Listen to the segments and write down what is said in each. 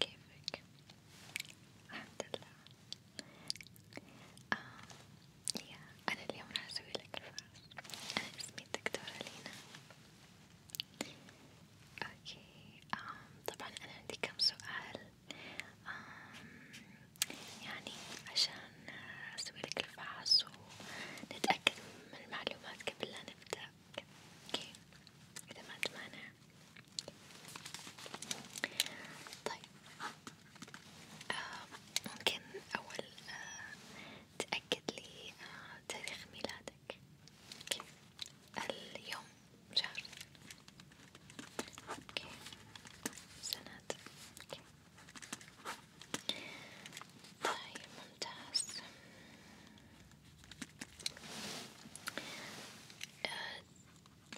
كيفك؟ الحمد لله آه يا أنا اليوم راح أسوي لك الفاس أنا اسمي الدكتورة لينا أوكي آه طبعا أنا عندي كم سؤال آه يعني عشان أسوي لك الفحص ونتأكد من المعلومات قبل لا نبدأ معك اوكي اذا ما تمانع طيب آه ممكن اول آه تأكد لي آه تاريخ ميلادك اوكي اليوم شهر اوكي سنة اوكي طيب ممتاز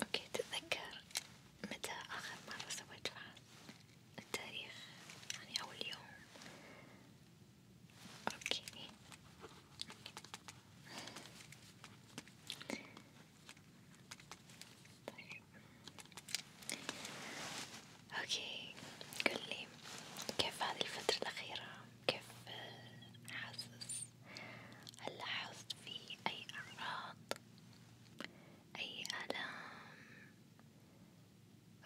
اوكي تتذكر متى آخر مرة سويت فحص التاريخ يعني أول يوم اوكي طيب اوكي قولي كيف هذه الفترة الأخيرة؟ كيف حاسس؟ هل لاحظت في أي أعراض؟ أي آلام؟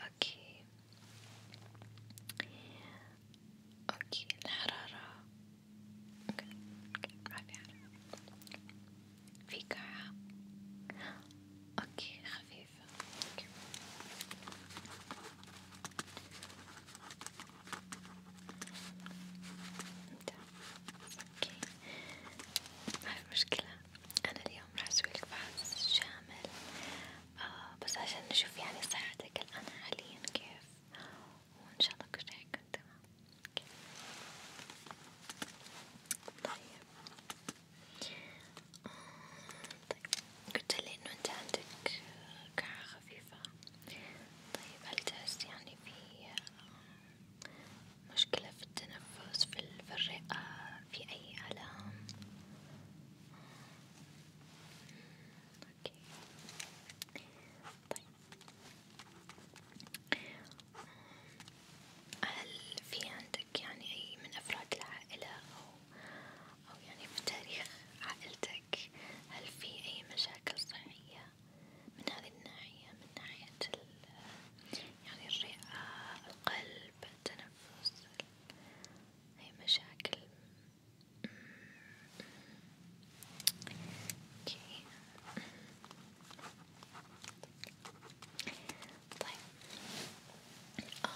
اوكي اوكي الحرارة اوكي ما في حرارة في قاعة اوكي خفيف كيف okay. اوكي عارف مشكلة أنا اليوم راح أسويلك بحث شامل آه بس عشان نشوف يعني صحتك الآن حاليا كيف وإن شاء الله كل شي يكون تمام طيب طيب قلت لي انه انت عندك كعة خفيفة طيب هل تحس يعني في مشكلة في التنفس في الرئة في اي الام اوكي طيب هل في عندك يعني أي من أفراد العائلة أو أو يعني في تاريخ عائلتك هل في أي مشاكل صحية من هذه الناحية من ناحية يعني الرئة القلب التنفس أي مشاكل؟ أمم. اوكي طيب آه.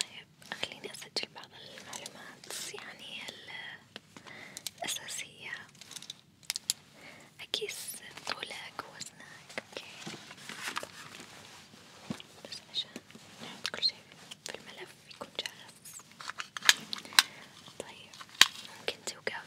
طيب خليني أسجل بعض المعلومات يعني الأساسية أقيس طولك ووزنك أوكي بس عشان نحط كل شي في الملف يكون جاهز طيب ممكن توقف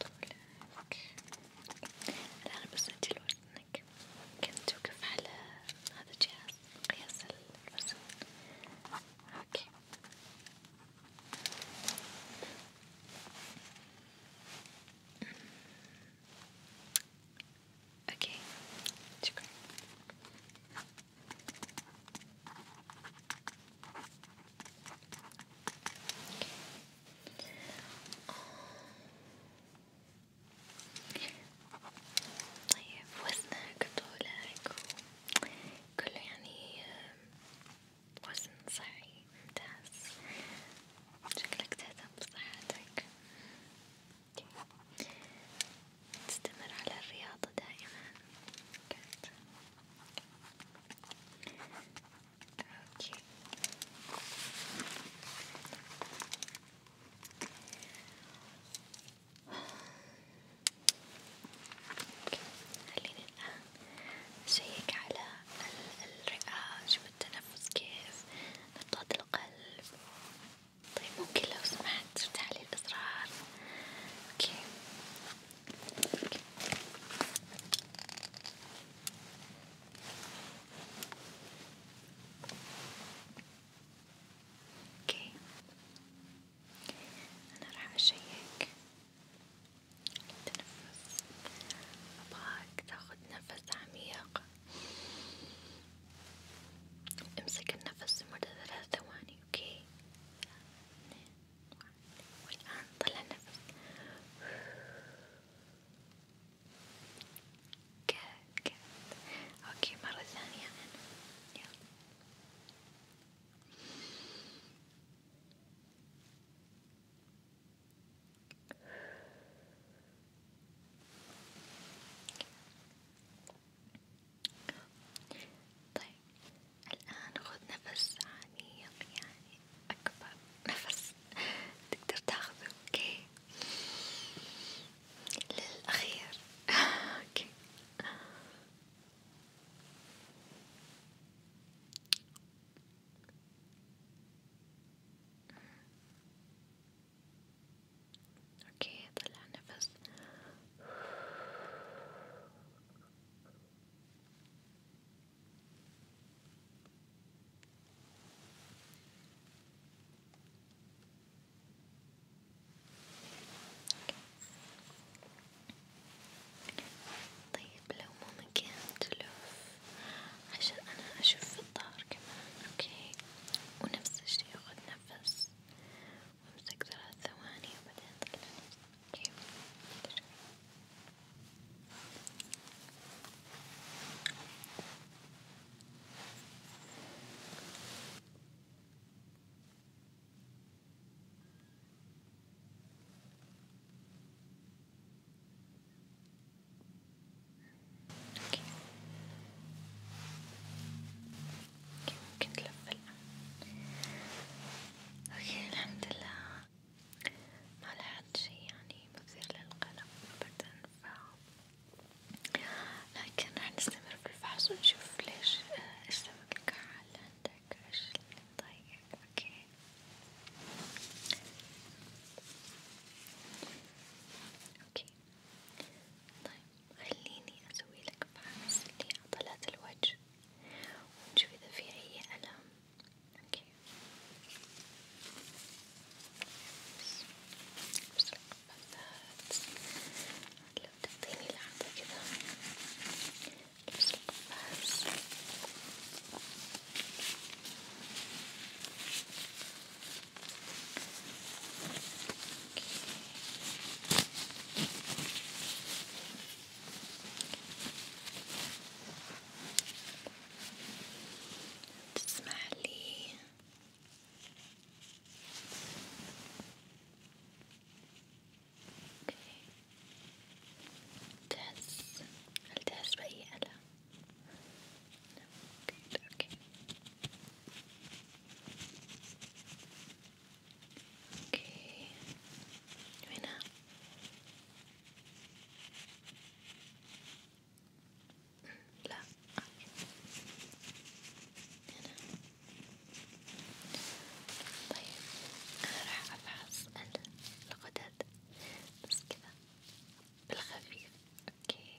طولك الآن بس أجل وزنك ممكن توقف على هذا الجهاز قياس الوزن اوكي اوكي شكرا طيب وزنك طولك كله يعني وزن صحي ممتاز شكلك تهتم بصحتك تستمر على الرياضة دائما Okay. خليني الآن أشيك على الرئة والتنفس كيف نبضات القلب طيب ممكن لو سمحت تفتحلي الأزرار اوكي اوكي انا راح اشيك التنفس ابغاك تاخد نفس عميق امسك النفس لمدة ثلاث ثواني اوكي واحد والآن طلع نفس كات كات أوكي مرة ثانية أنا يلا طيب الآن خذ نفس عميق يعني أكبر نفس تقدر تاخذه أوكي للأخير أوكي اوكي طلع نفس طيب لو مو مكان تلف عشان أنا أشوف الظهر كمان أوكي ونفس الشي أخذ نفس امسك ثلاث ثواني وبعدين طلعها كيف اوكي يمكن تلف الآن اوكي الحمد لله ما لاحظت شي يعني مثير للقلق ابدا ف لكن راح نستمر في الفحص ونشوف ليش آه، ايش سبب الكحة اللي عندك ايش اللي طيب، مضايقك اوكي اوكي طيب خليني أسوي لك فحص لعضلات الوجه ونشوف إذا في أي ألم، أوكي، بس القفازات، لو تعطيني لحظة كذا، بس القفاز. تسمع لي تحس هل تحس بأي ألم؟ أوكي. أوكي. اوكي هنا لا هنا طيب انا راح افحص الغدد بس كذا بالخفيف اوكي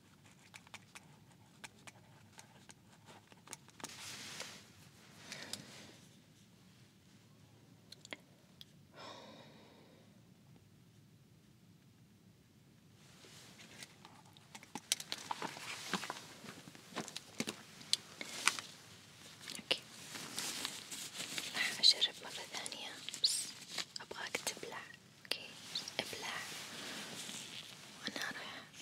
اوكي راح اجرب مرة ثانية بس ابغاك تبلع اوكي ابلع وانا راح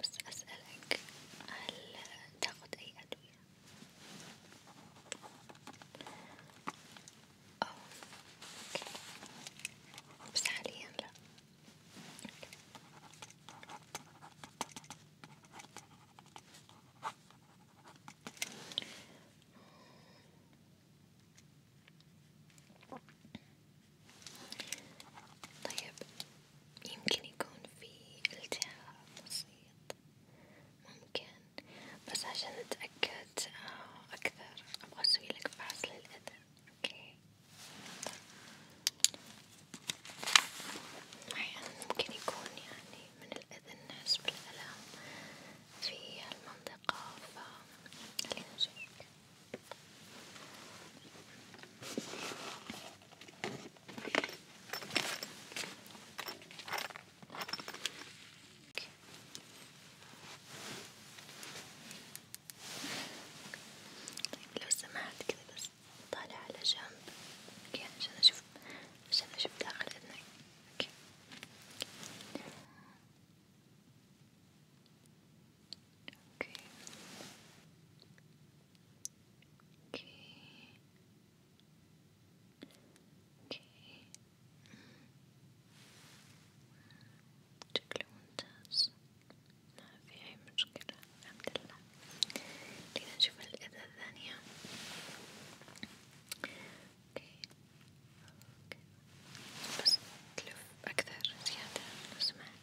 بس أسألك هل تاخد أي أدوية؟ أوه. بس حاليا لا أوكي. طيب يمكن يكون في التهاب بسيط ممكن بس عشان أتأكد آه، أكثر أبغى أسويلك فحص للأذى أوكي أحيانا طيب. ممكن يكون يعني من الأذى الناس بالألم في المنطقة فخلينا نشيك. طيب لو سمحت كذا بس طالع على جنب اوكي عشان اشوف عشان اشوف داخل اذنك اوكي اوكي اوكي اوكي شكله ممتاز ما في اي مشكلة الحمد لله خلينا نشوف الإذا الثانية اوكي اوكي بس تلف اكثر زيادة لو سمحت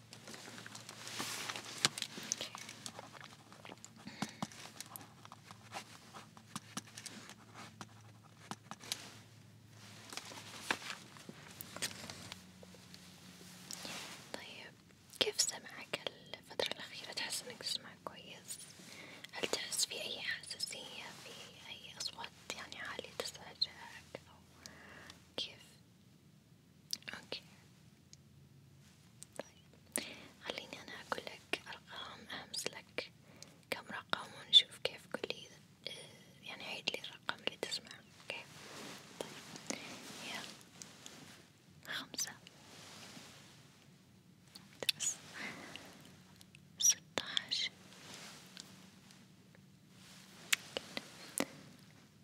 طيب كيف سمعك الفترة الأخيرة تحس إنك تسمع كويس؟ هل تحس في أي حساسية في أي أصوات يعني عالية تزعجك أو كيف؟ أوكي طيب خليني أنا أقول لك أرقام أهمس لك كم رقم ونشوف كيف قولي آه، يعني عيد لي الرقم اللي تسمعه أوكي طيب يلا خمسة ممتاز ستة عشر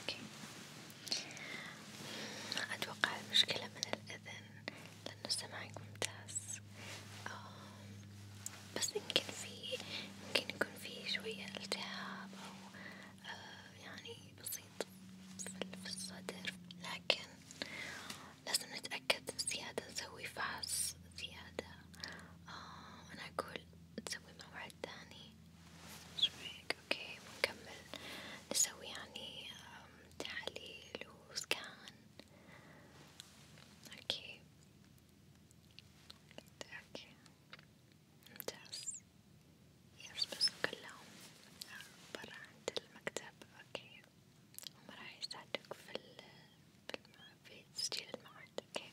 أوكي ما أتوقع المشكلة من الأذن لأنه سمعك ممتاز آه، بس يمكن في ممكن يكون في شوية التهاب أو آه، يعني بسيط في الصدر لكن لازم نتأكد زيادة نسوي فحص زيادة آه، أنا أقول تسوي موعد تاني شو هيك اوكي بنكمل نسوي يعني تحاليل وسكان اوكي اوكي ممتاز يس بس كلهم برا عند المكتب اوكي وما راح يساعدوك في ال في, الم... في تسجيل الموعد اوكي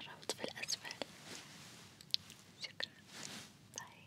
الرابط في الأسفل شكرا باي